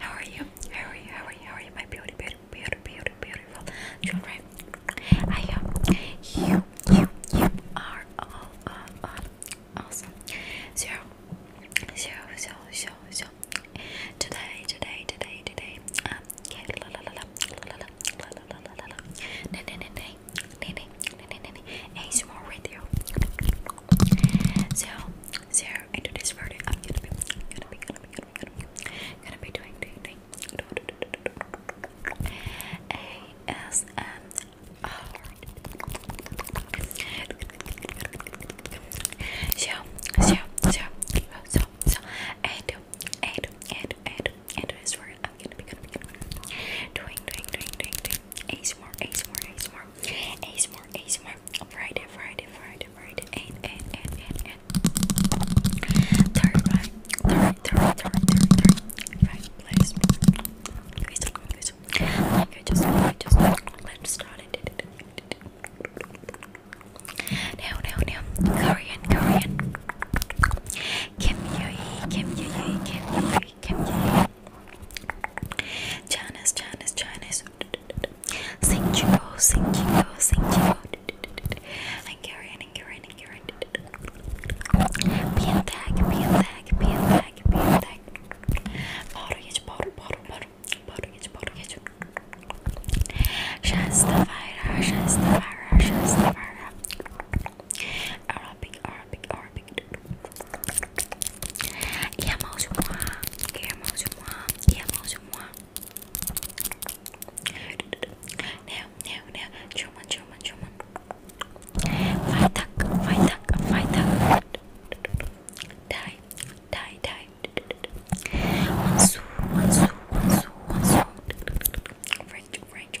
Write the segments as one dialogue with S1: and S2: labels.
S1: How are you? How are you? How are you? How are you? My beauty, beauty, beauty, beauty, beautiful children. I am. You, you, you are all, all, all awesome. So, so, so, so, so. Today, today, today, today. Um, yeah, la la la la la la la la la la la. Nene, nene, nene, nene, nene, nene. ASMR radio. So, so I do this for you. I'm gonna be, gonna be, gonna be, gonna be, gonna be, gonna be doing, doing, doing, ASMR. So, so, so, so, so, I do, I do, I do, I do, I do this for you. I'm gonna be, gonna be, gonna be doing, doing, doing, doing, doing. ASMR, ASMR, ASMR, ASMR, ASMR, Friday, Friday, Friday, Friday, and, and, and, and, and, third, right, third, third, third, third, third, right, let's, okay, so, okay, so, like I just, like I just, let's start it, now, now, now, Korean, Korean, Kim Yui, Kim Yui, Kim Yui, Kim Yui, Janice, Janice, Janice. Sing Chico, sing Chico, sing Chico. And Karen, and Karen, and Karen. Be attack, be attack, be attack, be attack. Powder, get powder, powder, powder. Powder, get powder, get. Shasta, fire, shasta, fire, shasta, fire. Arabic, Arabic, Arabic. E a mão de moá, e a mão de moá, e a mão de moá. Não, não, não. Chuma, chuma, chuma. Vai tac, vai tac, vai tac. Die, die, die. One, two, one, two, one, two, one, two. French, French,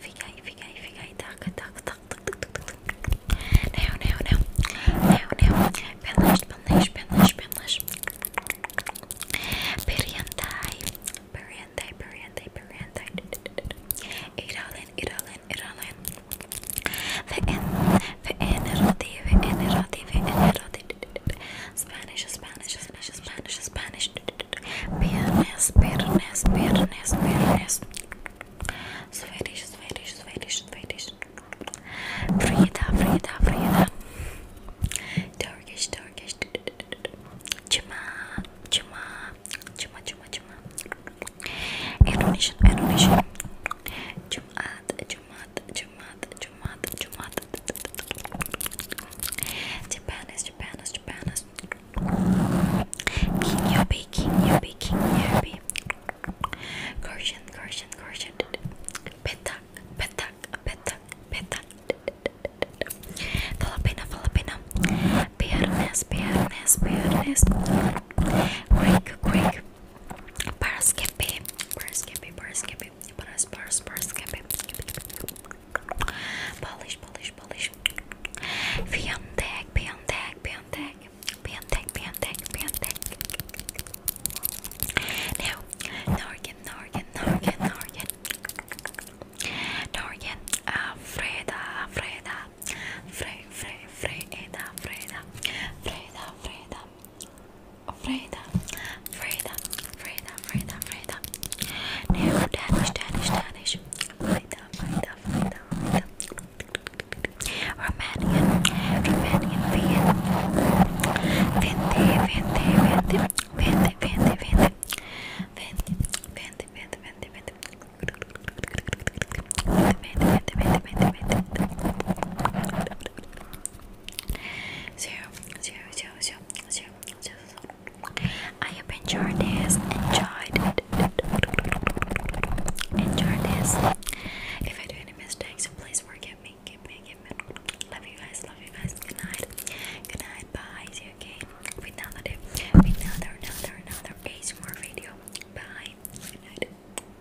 S1: Fica aí, fica aí, fica aí. Taca, taca, taca. Now, now, now. Now, now. Belash, belash, belash, belash. Periantai. Periantai, periantai, periantai. Iralen, iralen, iralen. The N, the N, the N, the N, the N, Spanish, Spanish, Spanish, Spanish, Spanish. Fairness, fairness, fairness, fairness. Swedish, Swedish, Swedish, Swedish. Frida, Frida, Frida. Turkish, Turkish. Cuma, cuma, cuma, cuma, cuma. Indonesian, Indonesian. Jumat, Jumat, Jumat, Jumat, Jumat, Japan is Japan is Japan is King Yubi, King Yubi, King Yubi Corsian, Corsian, Corsian Petak, Petak, Petak, Petak Filipina, Filipina Piernes, Piernes, Piernes Greek, Greek Paraskippy, Paraskippy, skip it. Brush, brush, brush, skip it. Skip it. Polish, polish, polish. Biontech, Biontech, Biontech, Biontech, Biontech, Biontech. Now, Norgan, Norgan, Norgan, Norgan. Norgan, uh, Freda, Freda, Fre, Fre, Freda, Freda, Freda, Freda. Freda, Freda, Freda, Freda, Freda. Now Danish, Danish, Danish. Freda, Freda, Freda, Freda. Romanian, Romanian, Vien. Vente, vente, vente, vente, vente, vente. Vente, vente, vente, vente, vente. Vente, vente, vente, vente, vente zero, zero, zero, zero, zero, zero, zero. I have enjoyed this. Enjoyed it. Enjoy this. If I do any mistakes, please forgive me. Give me, give me. Love you guys. Love you guys. Good night. Good night. Bye. See you again with another day. With another, another, another more video. Bye. Good night.